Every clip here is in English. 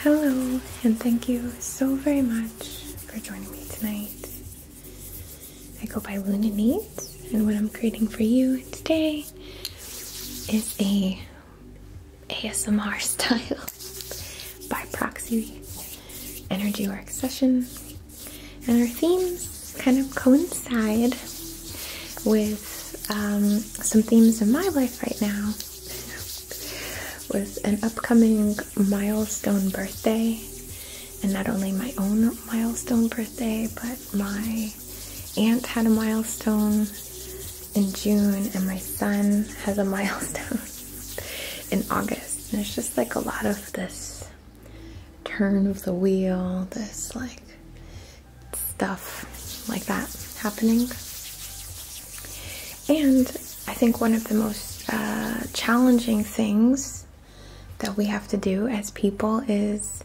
Hello, and thank you so very much for joining me tonight. I go by Luna Needs, and what I'm creating for you today is a ASMR style by proxy energy work session. And our themes kind of coincide with um, some themes in my life right now. with an upcoming milestone birthday, and not only my own milestone birthday, but my aunt had a milestone in June, and my son has a milestone in August. And it's just like a lot of this turn of the wheel, this like stuff like that happening. And I think one of the most uh, challenging things that we have to do as people is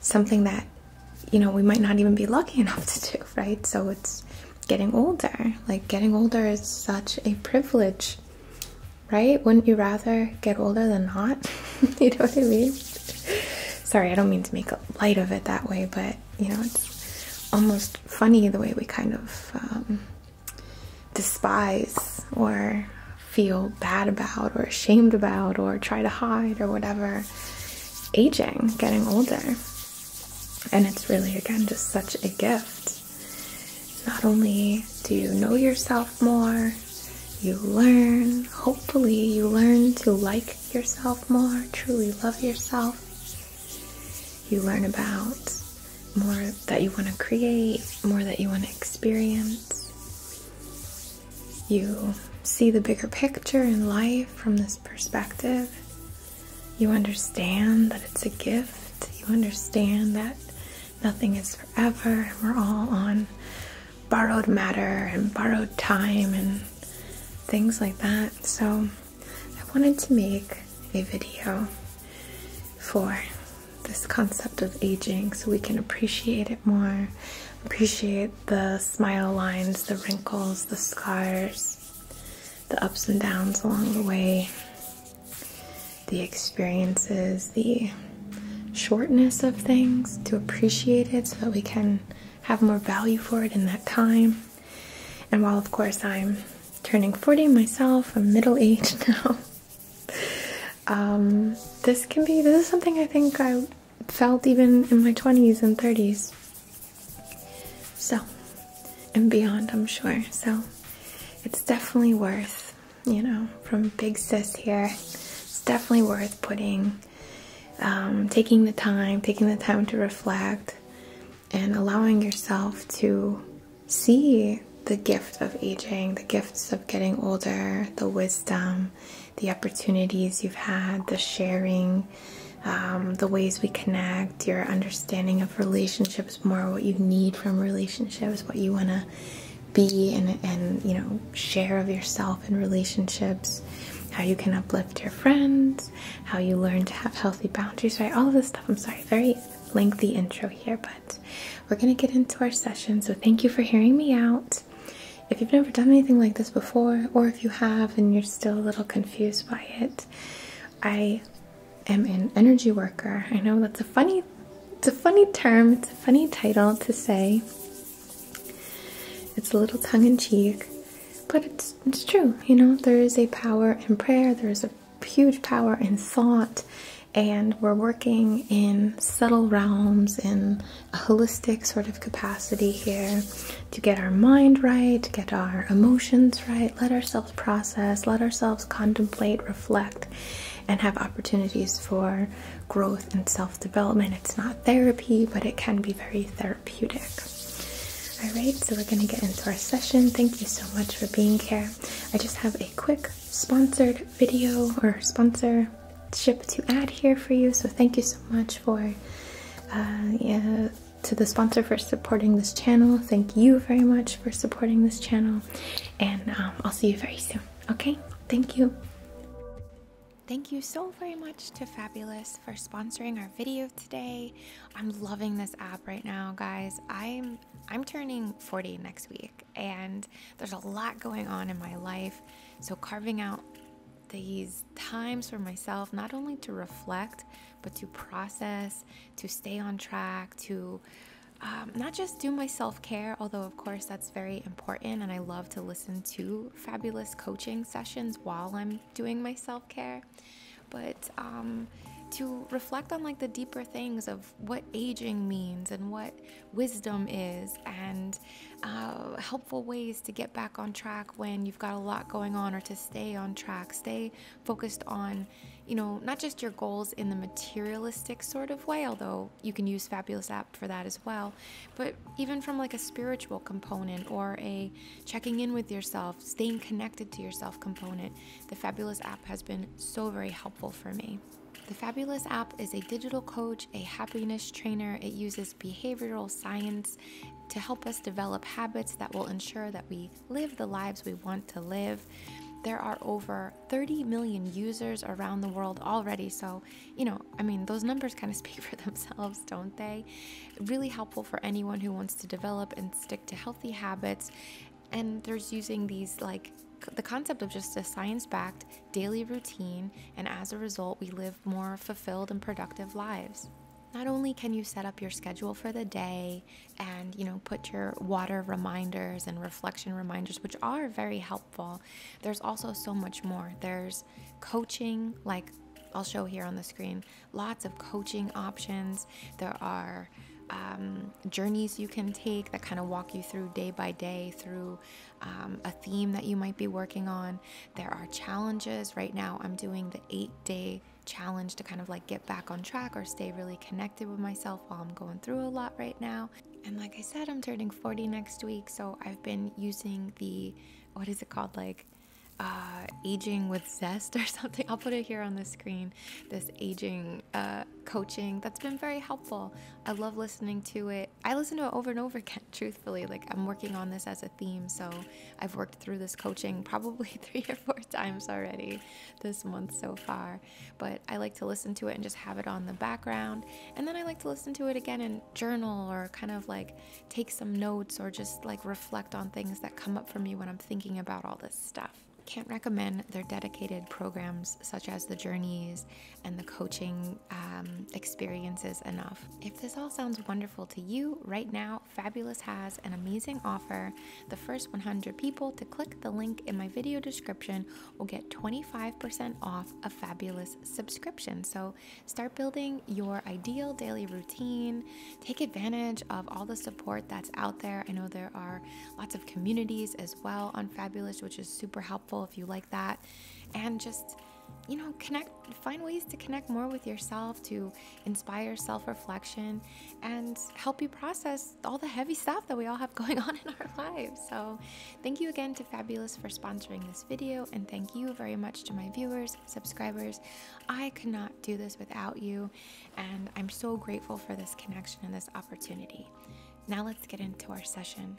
something that you know we might not even be lucky enough to do, right? So it's getting older. Like getting older is such a privilege, right? Wouldn't you rather get older than not? you know what I mean? Sorry, I don't mean to make light of it that way, but you know, it's almost funny the way we kind of um, despise or feel bad about or ashamed about or try to hide or whatever aging, getting older. And it's really, again, just such a gift. Not only do you know yourself more, you learn, hopefully, you learn to like yourself more, truly love yourself. You learn about more that you want to create, more that you want to experience. You see the bigger picture in life from this perspective. You understand that it's a gift. You understand that nothing is forever. We're all on borrowed matter and borrowed time and things like that. So I wanted to make a video for this concept of aging so we can appreciate it more, appreciate the smile lines, the wrinkles, the scars, the ups and downs along the way, the experiences, the shortness of things, to appreciate it so that we can have more value for it in that time. And while, of course, I'm turning 40 myself, I'm middle aged now. Um, this can be, this is something I think I felt even in my 20s and 30s. So, and beyond, I'm sure. So, it's definitely worth, you know, from Big Sis here, it's definitely worth putting um, taking the time, taking the time to reflect, and allowing yourself to see the gift of aging, the gifts of getting older, the wisdom, the opportunities you've had, the sharing, um, the ways we connect, your understanding of relationships more, what you need from relationships, what you want to be and you know share of yourself in relationships, how you can uplift your friends, how you learn to have healthy boundaries, right? All of this stuff. I'm sorry, very lengthy intro here, but we're going to get into our session. So, thank you for hearing me out. If you've never done anything like this before, or if you have and you're still a little confused by it, I am an energy worker. I know that's a funny it's a funny term, it's a funny title to say. It's a little tongue in cheek, but it's, it's true. You know, there is a power in prayer, there is a huge power in thought, and we're working in subtle realms in a holistic sort of capacity here to get our mind right, get our emotions right, let ourselves process, let ourselves contemplate, reflect, and have opportunities for growth and self development. It's not therapy, but it can be very therapeutic. All right, so we're going to get into our session. Thank you so much for being here. I just have a quick sponsored video or sponsorship to add here for you. So thank you so much for uh, to the sponsor for supporting this channel. Thank you very much for supporting this channel, and um, I'll see you very soon. Okay, thank you. Thank you so very much to Fabulous for sponsoring our video today. I'm loving this app right now, guys. I'm I'm turning 40 next week and there's a lot going on in my life. So carving out these times for myself not only to reflect, but to process, to stay on track, to um, not just do my self care, although, of course, that's very important and I love to listen listen to fabulous coaching sessions while I'm doing my self care, but um, to reflect on like the deeper things of what aging means and what wisdom is and uh, helpful ways to get back on track when you've got a lot going on or to stay on track stay focused on you know not just your goals in the materialistic sort of way although you can use fabulous app for that as well. But even from like a spiritual component or a checking in with yourself, staying connected to yourself component, the Fabulous app has been so very helpful for me. The Fabulous app is a digital coach, a happiness trainer. It uses behavioral science to help us develop habits that will ensure that we live the lives we want to live. There are over 30 million users around the world already, so, you know, I mean, those numbers kind of speak for themselves, don't they? Really helpful for anyone who wants to develop and stick to healthy habits. And there's using these like the concept of just a science backed daily routine, and as a result, we live more fulfilled and productive lives. Not only can you set up your schedule for the day and, you know, put your water reminders and reflection reminders, which are very helpful, there's also so much more. There's coaching, like I'll show here on the screen, lots of coaching options. There are um, journeys you can take that kind of walk you through day by day through um, a theme that you might be working on. There are challenges. Right now, I'm doing the eight day challenge to kind of like get back on track or stay really connected with myself while I'm going through a lot right now. And like I said, I'm turning 40 next week, so I've been using the what is it called? Like uh, aging with zest or something. I'll put it here on the screen. This aging uh, coaching that's been very helpful. I love listening to it. I listen to it over and over again, truthfully. Like I'm working on this as a theme, so I've worked through this coaching probably three or four times already this month so far. But I like to listen to it and just have it on the background. And then I like to listen to it again and journal or kind of like take some notes or just like reflect on things that come up for me when I'm thinking about all this stuff. Can't recommend their dedicated programs such as the journeys and the coaching um, experiences enough. If this all sounds wonderful to you, right now, Fabulous has an amazing offer. The first 100 people to click the link in my video description will get 25% off a Fabulous subscription. So Start building your ideal daily routine. Take advantage of all the support that's out there. I know there are lots of communities as well on Fabulous, which is super helpful if you like that. And just you know, connect, find ways to connect more with yourself, to inspire self reflection, and help you process all the heavy stuff that we all have going on in our lives. So, thank you again to Fabulous for sponsoring this video, and thank you very much to my viewers, subscribers. I could not do this without you, and I'm so grateful for this connection and this opportunity. Now, let's get into our session.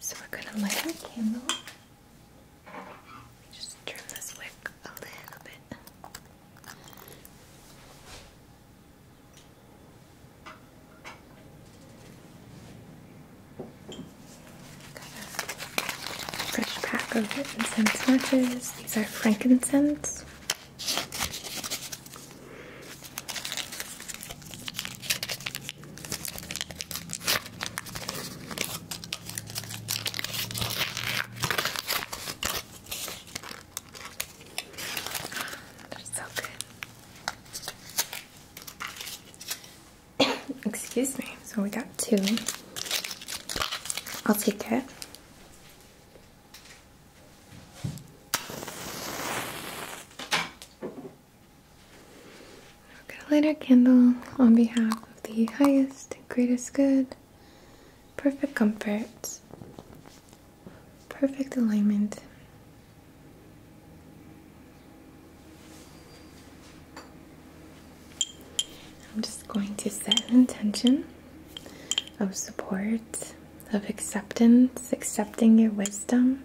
So we're going to light our candle just trim this wick a little bit. fresh pack of incense matches. These are frankincense. They're so good. Excuse me. So we got two. I'll take it. I'm gonna light our candle on behalf of the highest greatest good, perfect comfort, perfect alignment. I'm just going to set an intention of support, of acceptance, accepting your wisdom,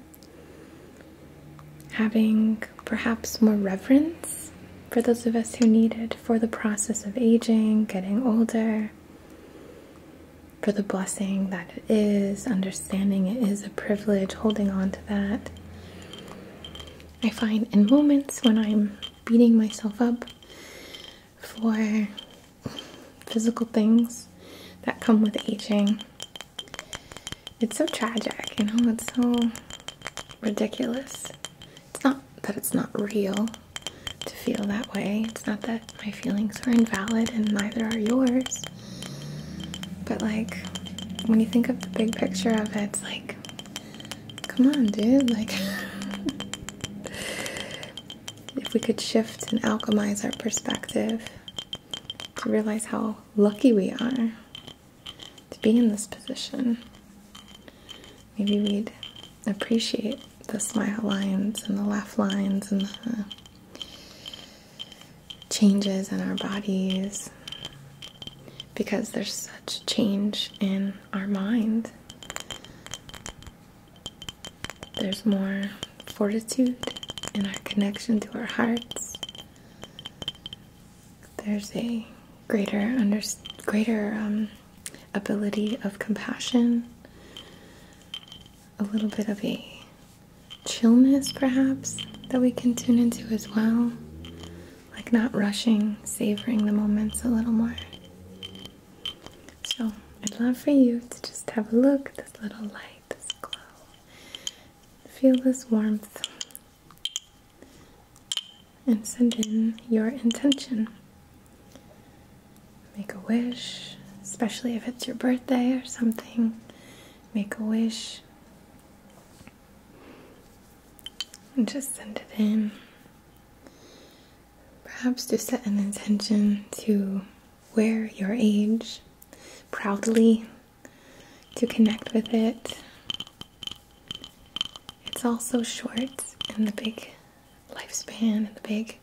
having perhaps more reverence for those of us who need it for the process of aging, getting older, for the blessing that it is, understanding it is a privilege, holding on to that. I find in moments when I'm beating myself up for physical things that come with aging, it's so tragic, you know, it's so ridiculous. It's not that it's not real to feel that way, it's not that my feelings are invalid and neither are yours. But, like, when you think of the big picture of it, it's like, come on, dude, like. if we could shift and alchemize our perspective to realize how lucky we are to be in this position. Maybe we'd appreciate the smile lines and the laugh lines and the changes in our bodies because there's such change in our mind. There's more fortitude in our connection to our hearts there's a greater under greater um, ability of compassion, a little bit of a chillness perhaps that we can tune into as well, like not rushing, savoring the moments a little more. So I'd love for you to just have a look at this little light, this glow. Feel this warmth and send in your intention. Make a wish, especially if it's your birthday or something. Make a wish and just send it in. Perhaps to set an intention to wear your age proudly to connect with it. It's all so short, and the big lifespan and the big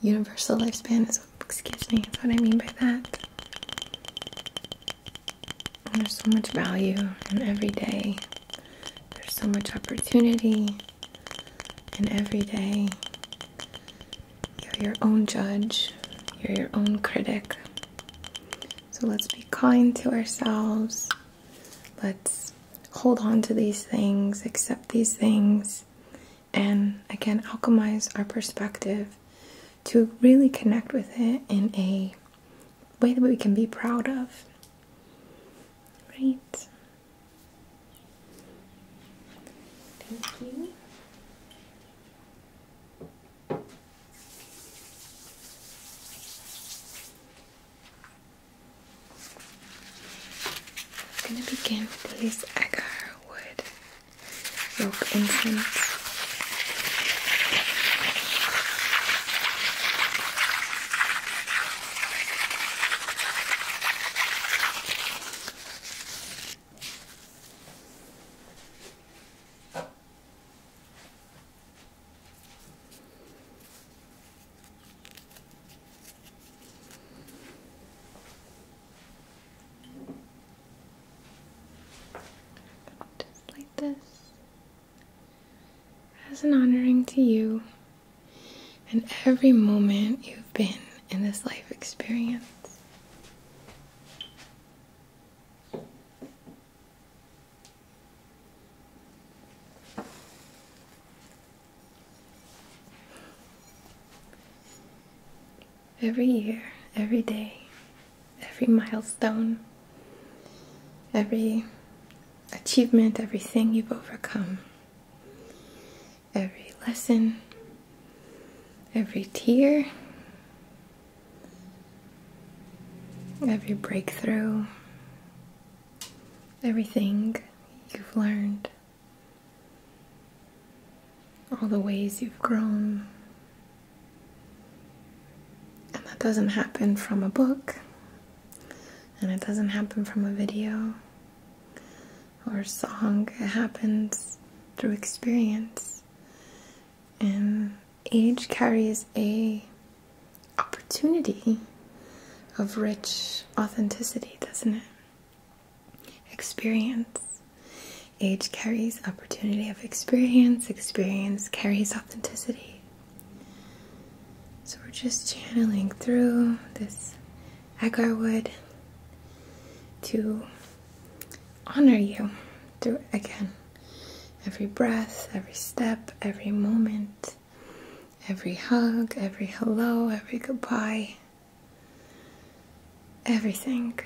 universal lifespan is, excuse me, that's what I mean by that. there's so much value in every day, there's so much opportunity in every day. You're your own judge, you're your own critic. So let's be kind to ourselves. Let's hold on to these things, accept these things, and again, alchemize our perspective to really connect with it in a way that we can be proud of. Right? Thank you. I'm gonna begin with these agar incense. Just like this, as an honoring to you and every moment you've been in this life experience. Every year, every day, every milestone, every achievement, everything you've overcome, every lesson, every tear, every breakthrough, everything you've learned, all the ways you've grown. And that doesn't happen from a book, and it doesn't happen from a video or song. It happens through experience and age carries a opportunity of rich authenticity, doesn't it? Experience. Age carries opportunity of experience. Experience carries authenticity. So we're just channeling through this agarwood to honor you Do it again every breath, every step, every moment, every hug, every hello, every goodbye, everything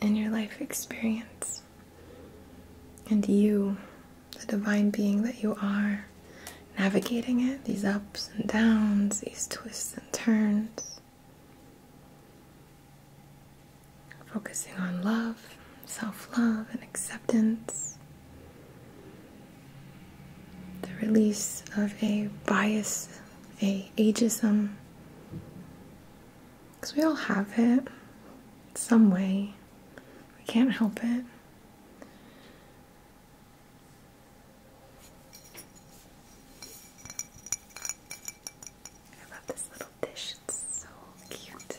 in your life experience. And you, the divine being that you are, navigating it, these ups and downs, these twists and turns focusing on love, self love, and acceptance. The release of a bias, a ageism, because we all have it some way. We can't help it. I love this little dish, it's so cute.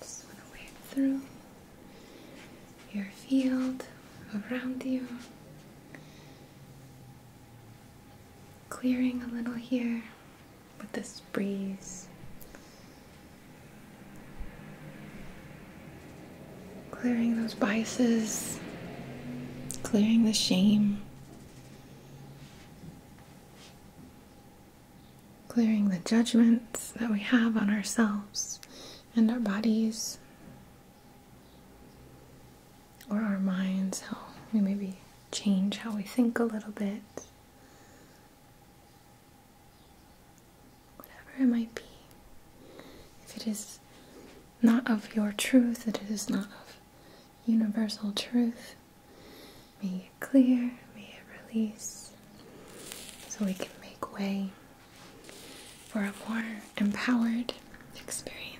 Just want to weave through your field around you, clearing a little here with this breeze clearing those biases, clearing the shame, clearing the judgments that we have on ourselves and our bodies or our minds, how we maybe change how we think a little bit. Whatever it might be. If it is not of your truth, that it is not of universal truth. May it clear, may it release, so we can make way for a more empowered experience.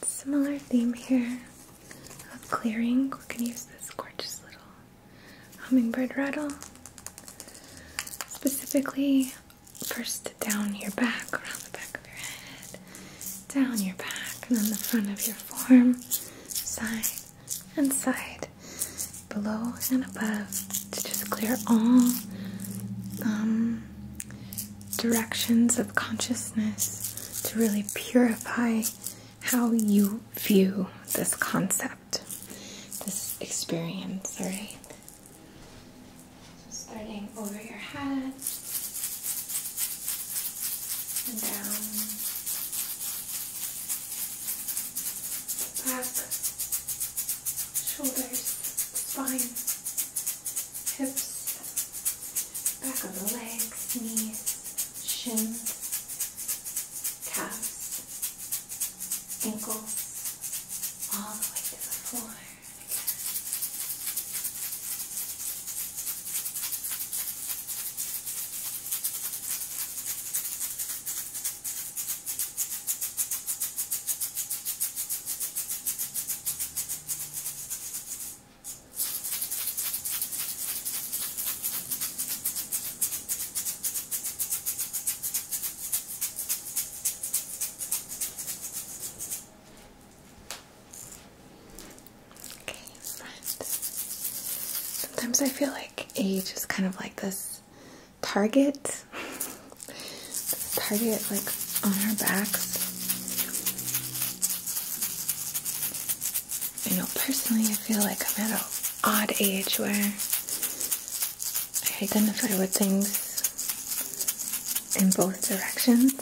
Similar theme here clearing. We can use this gorgeous little hummingbird rattle, specifically first down your back, around the back of your head, down your back, and then the front of your forearm, side and side, below and above, to just clear all um, directions of consciousness to really purify how you view this concept this experience, alright? So starting over your head and down back, shoulders, spine, hips, back of the legs, knees, shins, Calf, ankles, all the way to the floor. All Sometimes I feel like age is kind of like this target, target like on our backs. You know, personally, I feel like I'm at a odd age where I identify with things in both directions.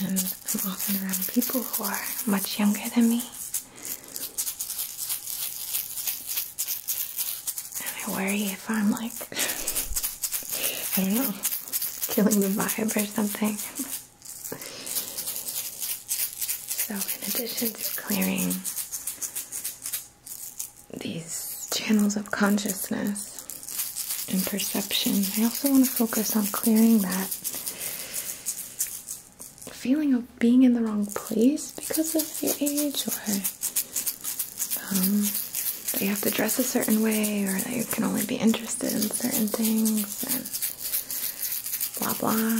And I'm often around people who are much younger than me. And I worry if I'm like, I don't know, killing the vibe or something. So, in addition to clearing these channels of consciousness and perception, I also want to focus on clearing that feeling of being in the wrong place because of your age, or um, that you have to dress a certain way, or that you can only be interested in certain things blah blah.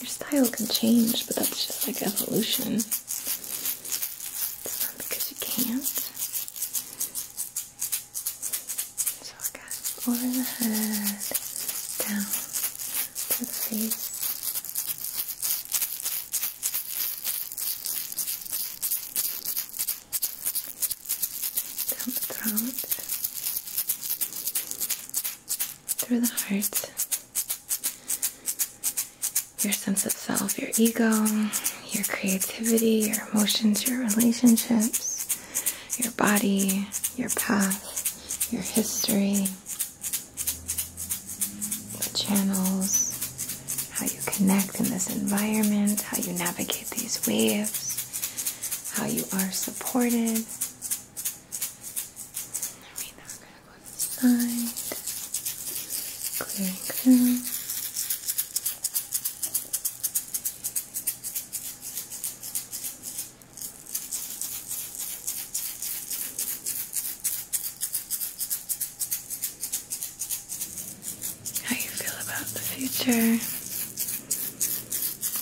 Your style can change, but that's just like evolution. It's not because you can't. So I got over the head, down to the face down the throat, through the heart, your sense of self, your ego, your creativity, your emotions, your relationships, your body, your path, your history, the channels, how you connect in this environment, how you navigate these waves how you are supported. clearing How you feel about the future?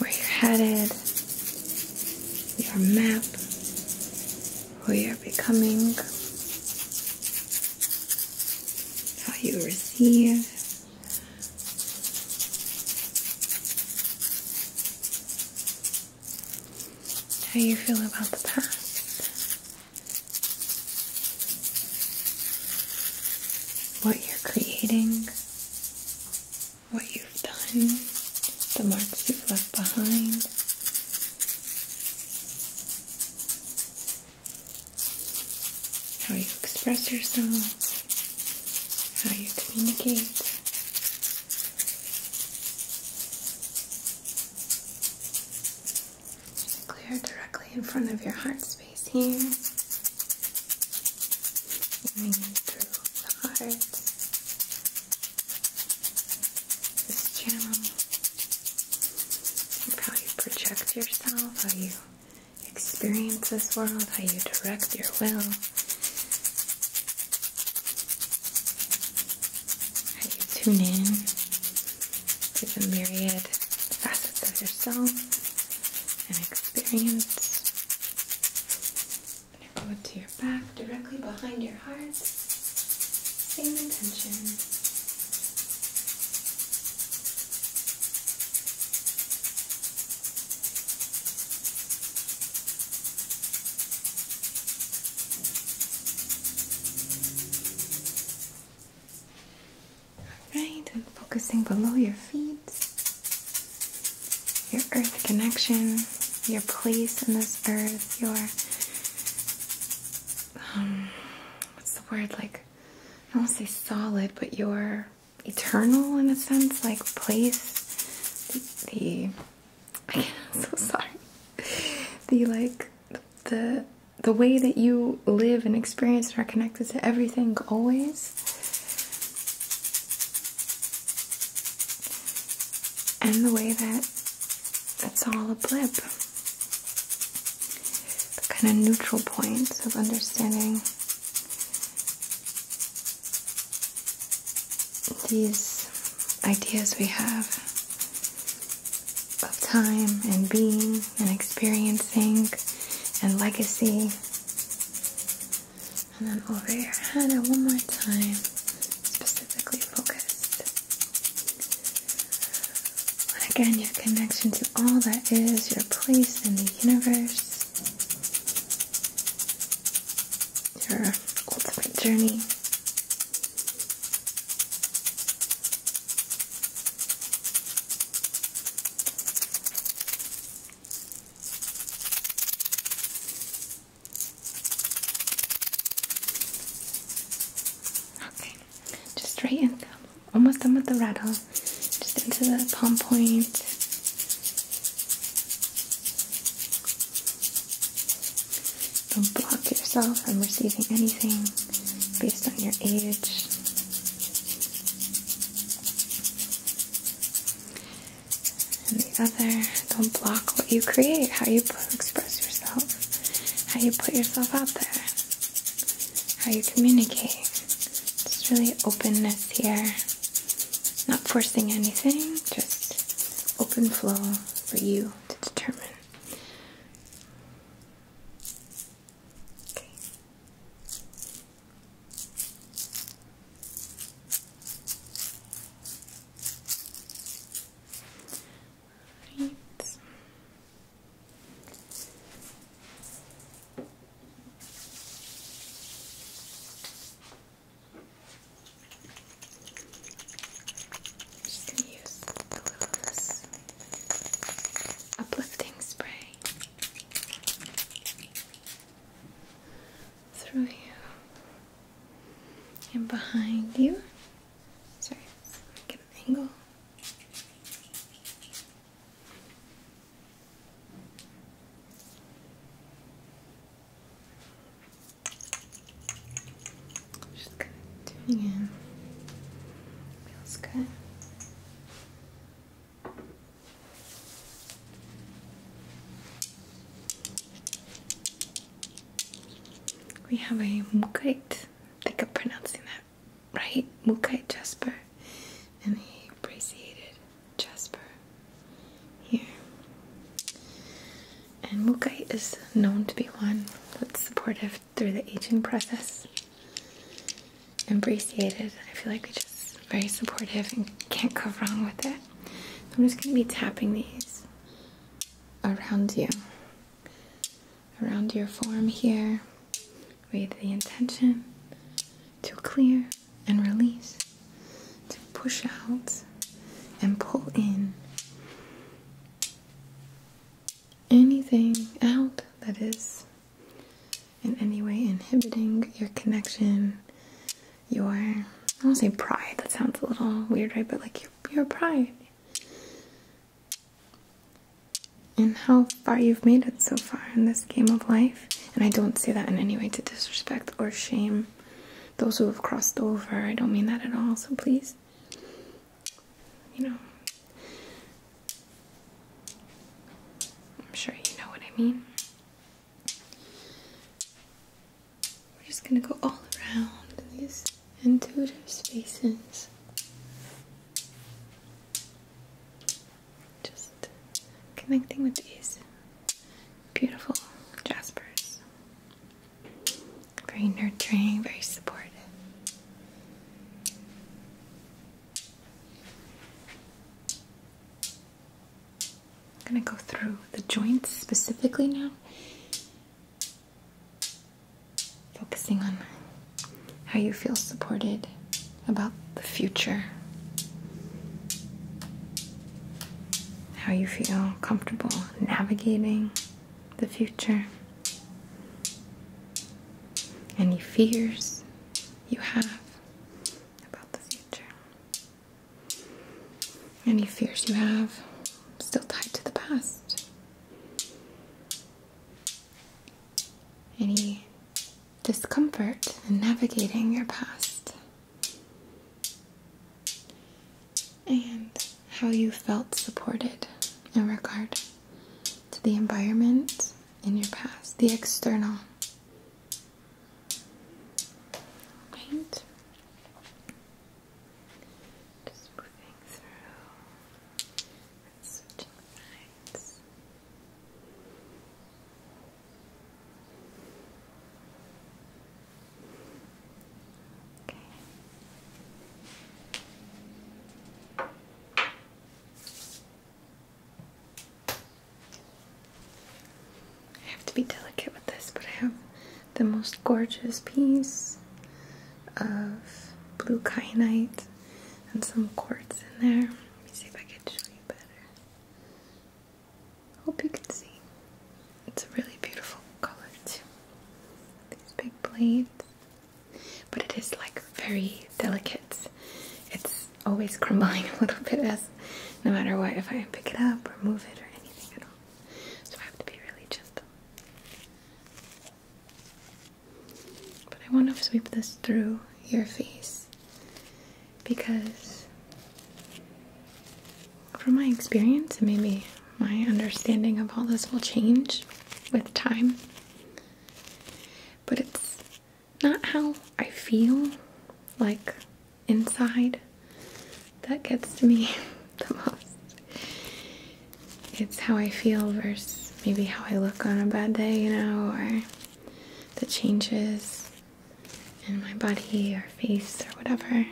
where you're headed, your map, who you're becoming, how you receive. How you feel about the past. What you're creating, what you've done, the marks you've left behind. How you express yourself, how you communicate. Clear directly in front of your heart space here. Moving through the heart. This channel. You project yourself, how you experience this world, how you direct your will. How you tune in to the myriad facets of yourself and experience. i go to your back, directly behind your heart. Same intention. Alright, focusing below your feet your earth connection, your place in this earth, your um, what's the word like? I don't say solid, but your eternal in a sense, like place, the, the I'm so sorry, the like the the way that you live and experience are connected to everything always and the way that it's all a blip. The kind of neutral points of understanding these ideas we have of time and being and experiencing and legacy and then over your head and one more time, specifically focused. And again, your connection to all that is, your place in the universe, your ultimate journey. Okay, just straighten. and almost done with the rattle. Just into the palm point. Don't block yourself from receiving anything based on your age and the other. Don't block what you create, how you express yourself, how you put yourself out there, how you communicate. It's really openness here. Not forcing anything, just open flow for you to determine. Okay. Just gonna use a little of uplifting spray through you and behind you. Sorry, get an angle. Just kind of tuning Feels good. We have a Mukite, I think i pronouncing that right, Mukite Jasper and a braceated Jasper here. And Mukite is known to be one that's supportive through the aging process. And braceated, I feel like we just very supportive and can't go wrong with it. So I'm just going to be tapping these around you, around your form here, with the intention to clear and release, to push out and pull in anything out that is in any way inhibiting your connection, your I don't say pride, that sounds a little weird, right? But like your your pride. And how far you've made it so far in this game of life. And I don't say that in any way to disrespect or shame those who have crossed over. I don't mean that at all, so please. You know. I'm sure you know what I mean. We're just going to go all around these intuitive spaces. Just connecting with these beautiful jaspers. Very nurturing, very supportive. I'm gonna go through the joints specifically now. Focusing on how you feel supported about the future, how you feel comfortable navigating the future, any fears you have about the future. Any fears you have still tied to the past? Any discomfort in navigating your past? And how you felt supported in regard to the environment in your past, the external paint. Just moving through and switching Okay. I have to be delicate with this, but I have the most gorgeous piece of blue kyanite and some quartz in there. Let me see if I can show you better. Hope you can see. It's a really beautiful color too. These big blades. But it is like very delicate. It's always crumbling a little bit as no matter what if I pick it up or move it or anything at all. So I have to be really gentle. But I want to sweep this through your face because from my experience and maybe my understanding of all this will change with time. But it's not how I feel like inside that gets to me the most. It's how I feel versus maybe how I look on a bad day, you know, or the changes in my body or face or whatever.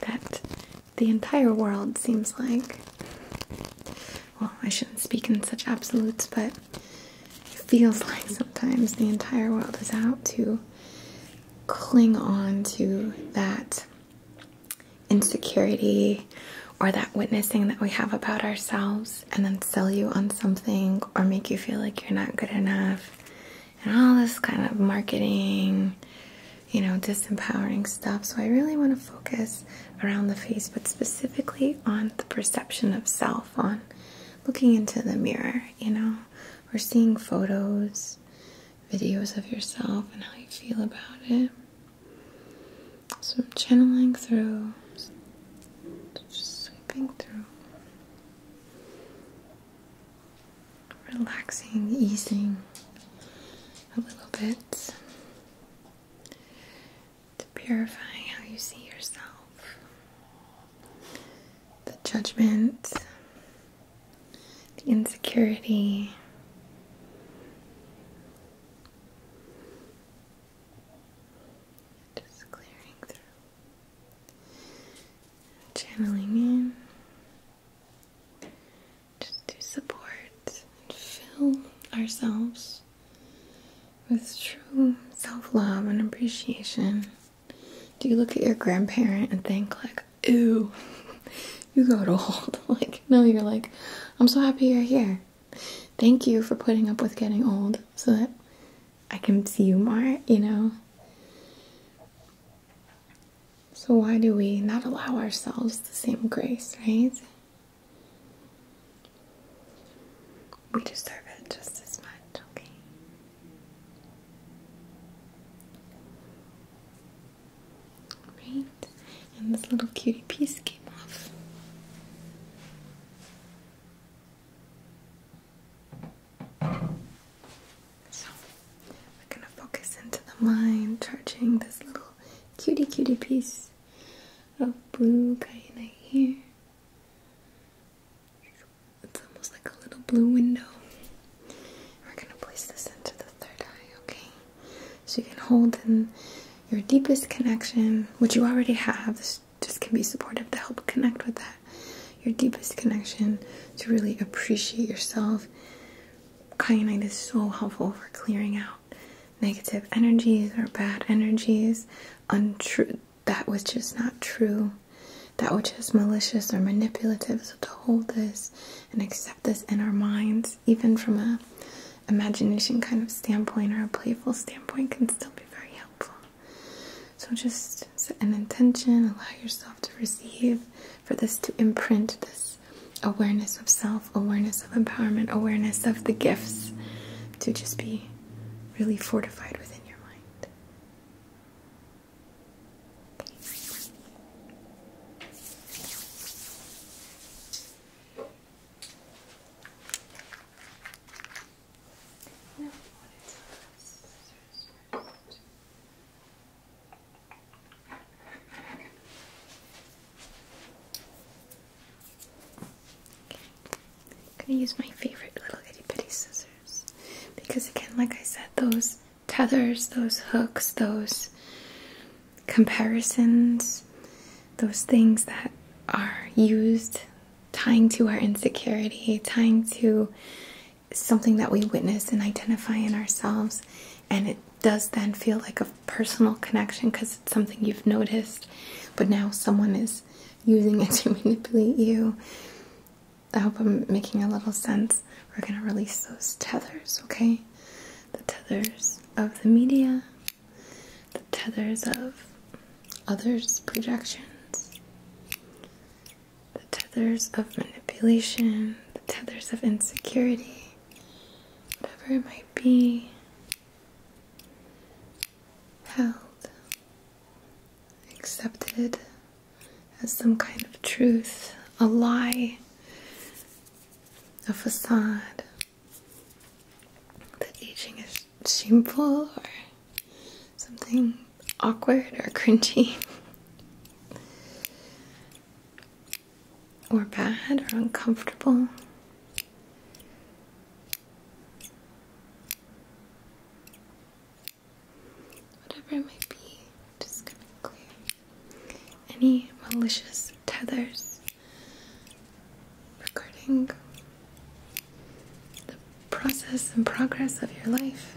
That the entire world seems like well, I shouldn't speak in such absolutes, but it feels like sometimes the entire world is out to cling on to that insecurity or that witnessing that we have about ourselves and then sell you on something or make you feel like you're not good enough and all this kind of marketing you know disempowering stuff so i really want to focus around the face, but specifically on the perception of self, on looking into the mirror, you know, or seeing photos, videos of yourself, and how you feel about it. So I'm channeling through, just sweeping through. Relaxing, easing a little bit, to purify how you see yourself. The judgment, the insecurity. Just clearing through, channeling in, just to support and fill ourselves with true self love and appreciation, do you look at your grandparent and think, like, "Ooh, you got old? like, no, you're like, I'm so happy you're here. Thank you for putting up with getting old so that I can see you more, you know? So, why do we not allow ourselves the same grace, right? We deserve it just as much, okay? Right, and this little cutie piece came off. So, we're gonna focus into the mind, charging this little cutie cutie piece of blue kyanite here. It's almost like a little blue window. We're going to place this into the third eye, okay? So you can hold in your deepest connection, which you already have. This just can be supportive to help connect with that. Your deepest connection to really appreciate yourself. Kyanite is so helpful for clearing out negative energies or bad energies, untrue that was just not true, that was just malicious or manipulative. So to hold this and accept this in our minds, even from a imagination kind of standpoint or a playful standpoint, can still be very helpful. So just an intention, allow yourself to receive for this to imprint this awareness of self, awareness of empowerment, awareness of the gifts to just be really fortified within your mind. I'm gonna use my favorite little itty bitty scissors because, again, like I said, those tethers, those hooks, those comparisons, those things that are used tying to our insecurity, tying to something that we witness and identify in ourselves, and it does then feel like a personal connection because it's something you've noticed, but now someone is using it to manipulate you. I hope I'm making a little sense. We're going to release those tethers, okay? The tethers of the media, the tethers of others' projections, the tethers of manipulation, the tethers of insecurity, whatever it might be held, accepted as some kind of truth, a lie, a facade. That aging is shameful or something awkward or cringy or bad or uncomfortable. Whatever it might be, just gonna clear any malicious tethers regarding the process and progress of your life.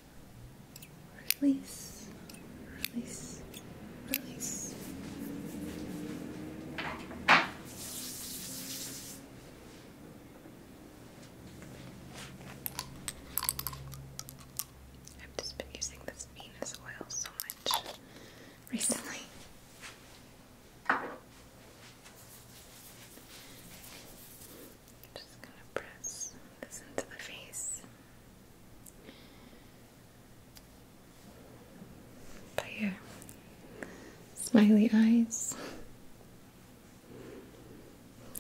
Release, release, release. I've just been using this Venus oil so much recently. just gonna press this into the face. But yeah, smiley eyes,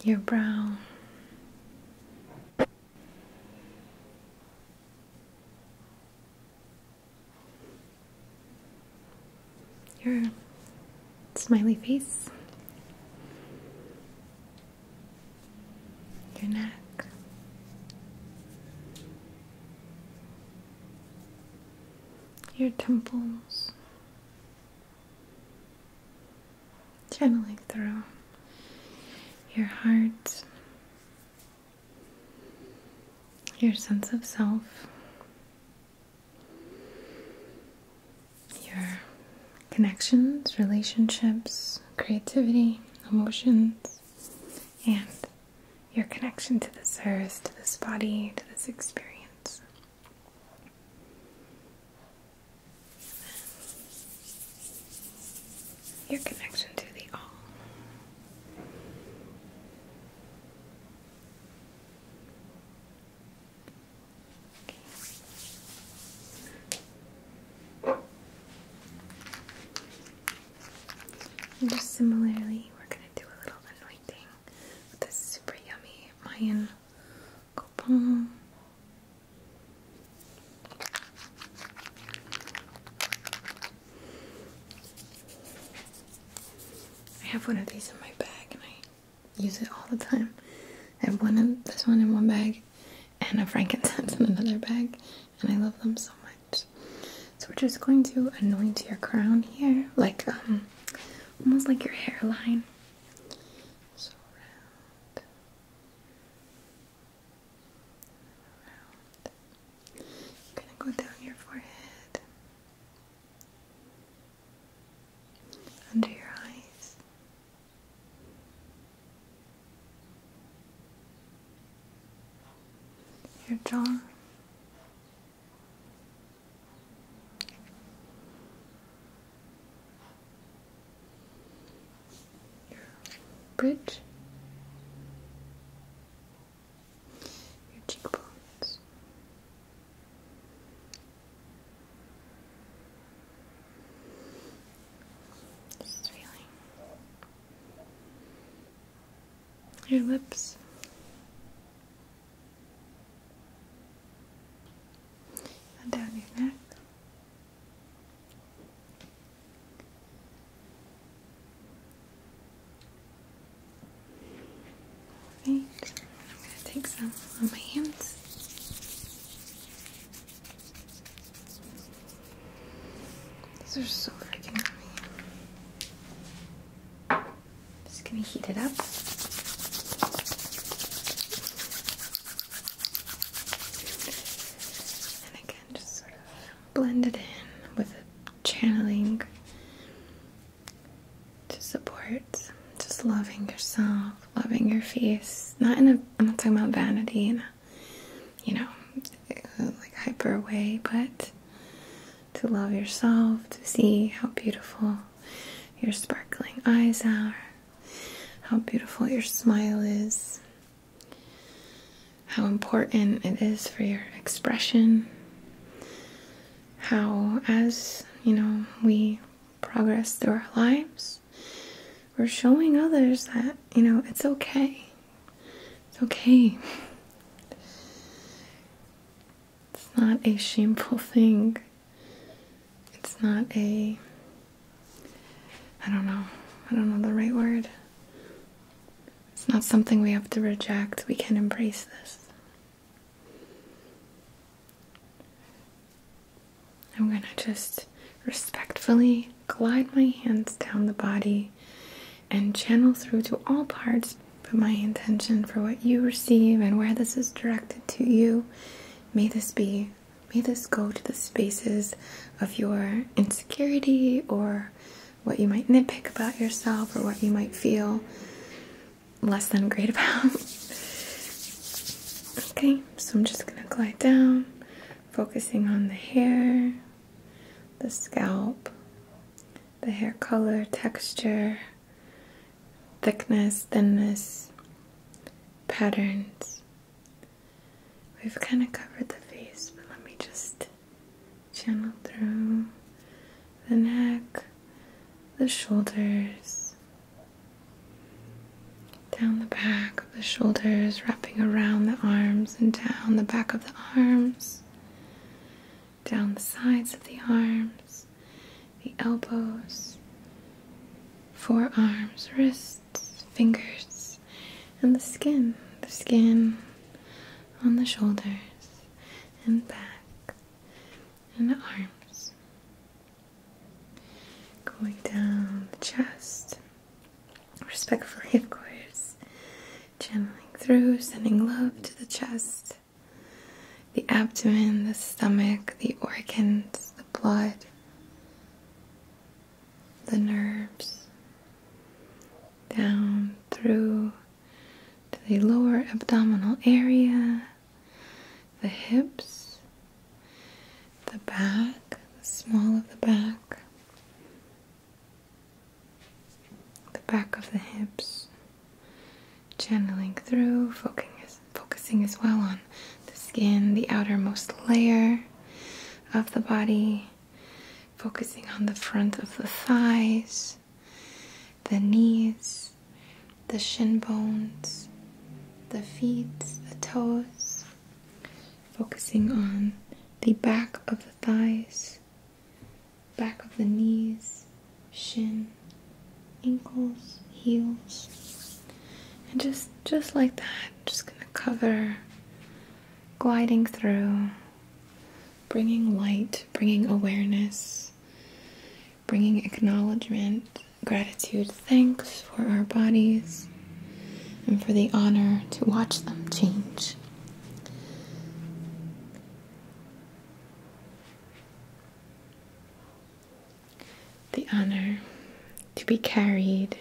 your brow. Your smiley face, your neck. Your temples, channeling through your heart, your sense of self, your connections, relationships, creativity, emotions, and your connection to this earth, to this body, to this experience. Your connection to the all similarly, we're going to do a little anointing with this super yummy Mayan coupon. I have one of these in my bag and I use it all the time. I have one of this one in one bag and a frankincense in another bag, and I love them so much. So we're just going to anoint your crown here, like um, almost like your hairline. So round, round. gonna go down your forehead, under your eyes your jaw. bridge, your cheekbones, just feeling your lips. And down your neck. I'm going to take some on my hands. These are so freaking yummy. Just gonna heat it up. And again, just sort of blend it in with channeling to support just loving yourself, loving your face. Not in a, I'm not talking about vanity, you know, like hyper way, but to love yourself, to see how beautiful your sparkling eyes are, how beautiful your smile is, how important it is for your expression, how, as you know, we progress through our lives. We're showing others that, you know, it's okay. It's okay. It's not a shameful thing. It's not a. I don't know. I don't know the right word. It's not something we have to reject. We can embrace this. I'm going to just respectfully glide my hands down the body and channel through to all parts. But my intention for what you receive and where this is directed to you, may this be, may this go to the spaces of your insecurity or what you might nitpick about yourself or what you might feel less than great about. okay, so I'm just going to glide down focusing on the hair, the scalp, the hair color, texture, thickness, thinness, patterns. We've kind of covered the face, but let me just channel through the neck, the shoulders, down the back of the shoulders, wrapping around the arms and down the back of the arms, down the sides of the arms, the elbows, forearms, wrists, fingers, and the skin, the skin on the shoulders and back and the arms. Going down the chest respectfully, of course, channeling through, sending love to the chest, the abdomen, the stomach, the organs, the blood, the nerves, down through to the lower abdominal area, the hips, the back, the small of the back, the back of the hips, channeling through, focusing as well on the skin, the outermost layer of the body, focusing on the front of the thighs, the knees, the shin bones, the feet, the toes, focusing on the back of the thighs, back of the knees, shin, ankles, heels. And just just like that, just going to cover gliding through, bringing light, bringing awareness, bringing acknowledgement, gratitude, thanks for our bodies and for the honor to watch them change. The honor to be carried,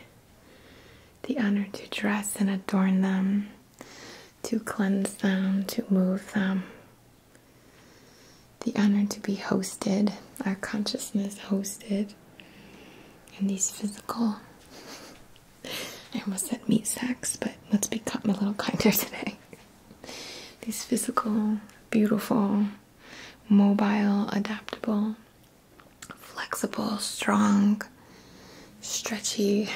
the honor to dress and adorn them, to cleanse them, to move them, the honor to be hosted, our consciousness hosted and these physical. I almost said meat sacks, but let's be a little kinder today. These physical, beautiful, mobile, adaptable, flexible, strong, stretchy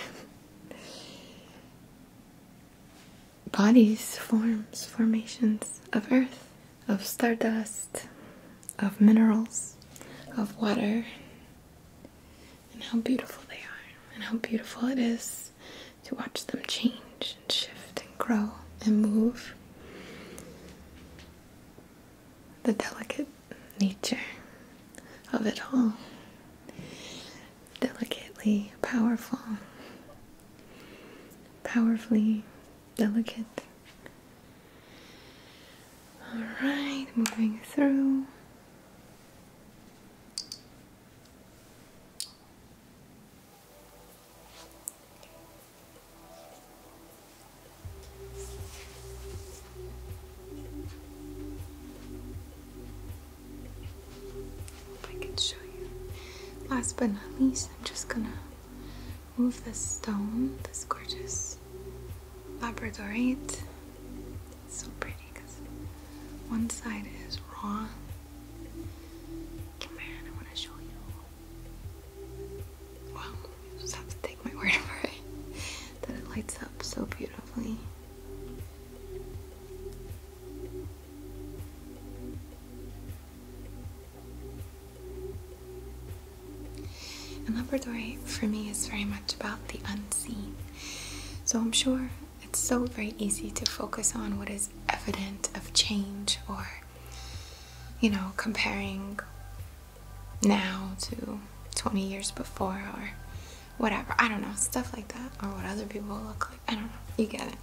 bodies, forms, formations of earth, of stardust, of minerals, of water, and how beautiful they are, and how beautiful it is to watch them change and shift and grow and move. The delicate nature of it all, delicately powerful, powerfully delicate. Alright, moving through. I can show you. Last but not least, I'm just gonna move this stone, this gorgeous labradorite. It's so pretty because one side is raw. Come here, I want to show you. Wow, you just have to take my word for it that it lights up so beautifully. And Labradorite for me is very much about the unseen. So I'm sure it's so very easy to focus on what is evident of change or, you know, comparing now to 20 years before or whatever. I don't know, stuff like that or what other people look like. I don't know. You get it.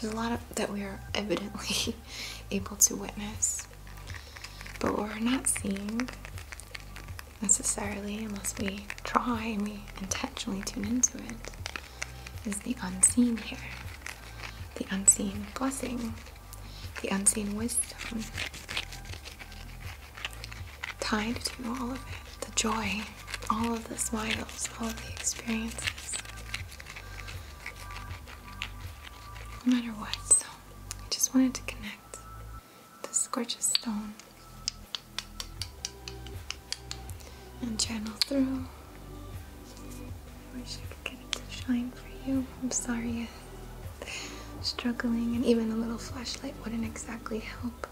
There's a lot of that we are evidently able to witness but what we're not seeing necessarily, unless we try and we intentionally tune into it, is the unseen here. The unseen blessing, the unseen wisdom tied to all of it the joy, all of the smiles, all of the experiences. No matter what, so I just wanted to connect the gorgeous stone and channel through. I wish I could get it to shine for you. I'm sorry struggling, and even a little flashlight wouldn't exactly help.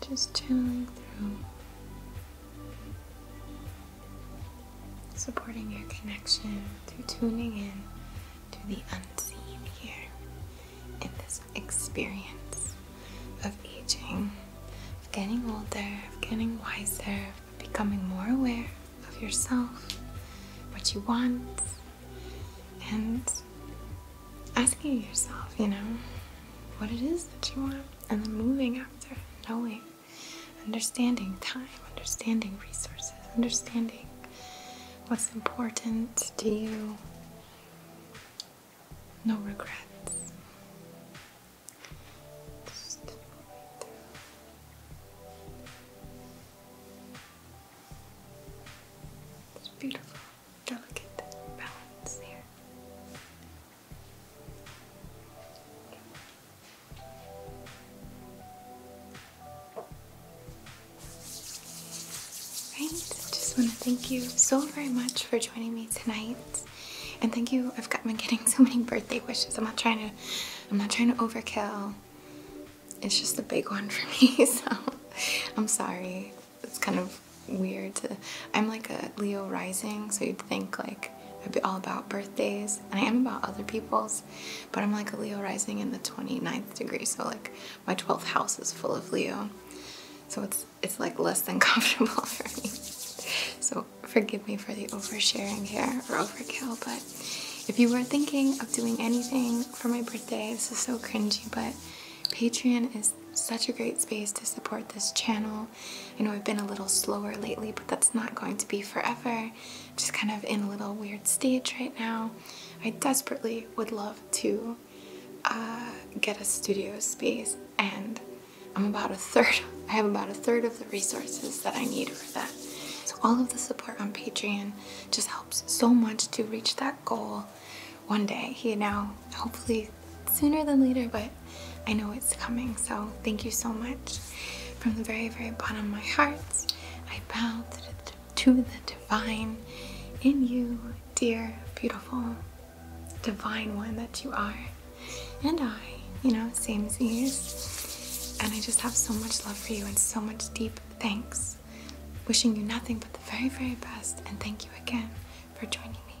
Just channeling through supporting your connection through tuning in to the unseen here in this experience of aging, of getting older, of getting wiser, of becoming more aware of yourself, what you want, and asking yourself, you know, what it is that you want, and then moving after, knowing understanding time, understanding resources, understanding what's important to you. No regrets. it's beautiful, delicate balance here. Right, just want to thank you so very much for joining me tonight. And thank you. I've gotten getting so many birthday wishes. I'm not trying to I'm not trying to overkill. It's just a big one for me, so I'm sorry. It's kind of weird to I'm like a Leo rising, so you'd think like I'd be all about birthdays and I am about other people's, but I'm like Leo rising in the 29th degree, so like my 12th house is full of Leo. So it's it's like less than comfortable for me. So forgive me for the oversharing here or overkill, but if you were thinking of doing anything for my birthday, this is so cringy, but Patreon is such a great space to support this channel. You know I've been a little slower lately, but that's not going to be forever just kind of in a little weird stage right now. I desperately would love to uh, get a studio space and I'm about a third, I have about a third of the resources that I need for that. So all of the support on Patreon just helps so much to reach that goal one day, you know, hopefully sooner than later, but I know it's coming. So thank you so much. From the very, very bottom of my heart, I bow to the, divine in you, dear, beautiful, divine one that you are. And I, you know, same as you, And I just have so much love for you and so much deep thanks. Wishing you nothing but the very, very best. And thank you again for joining me.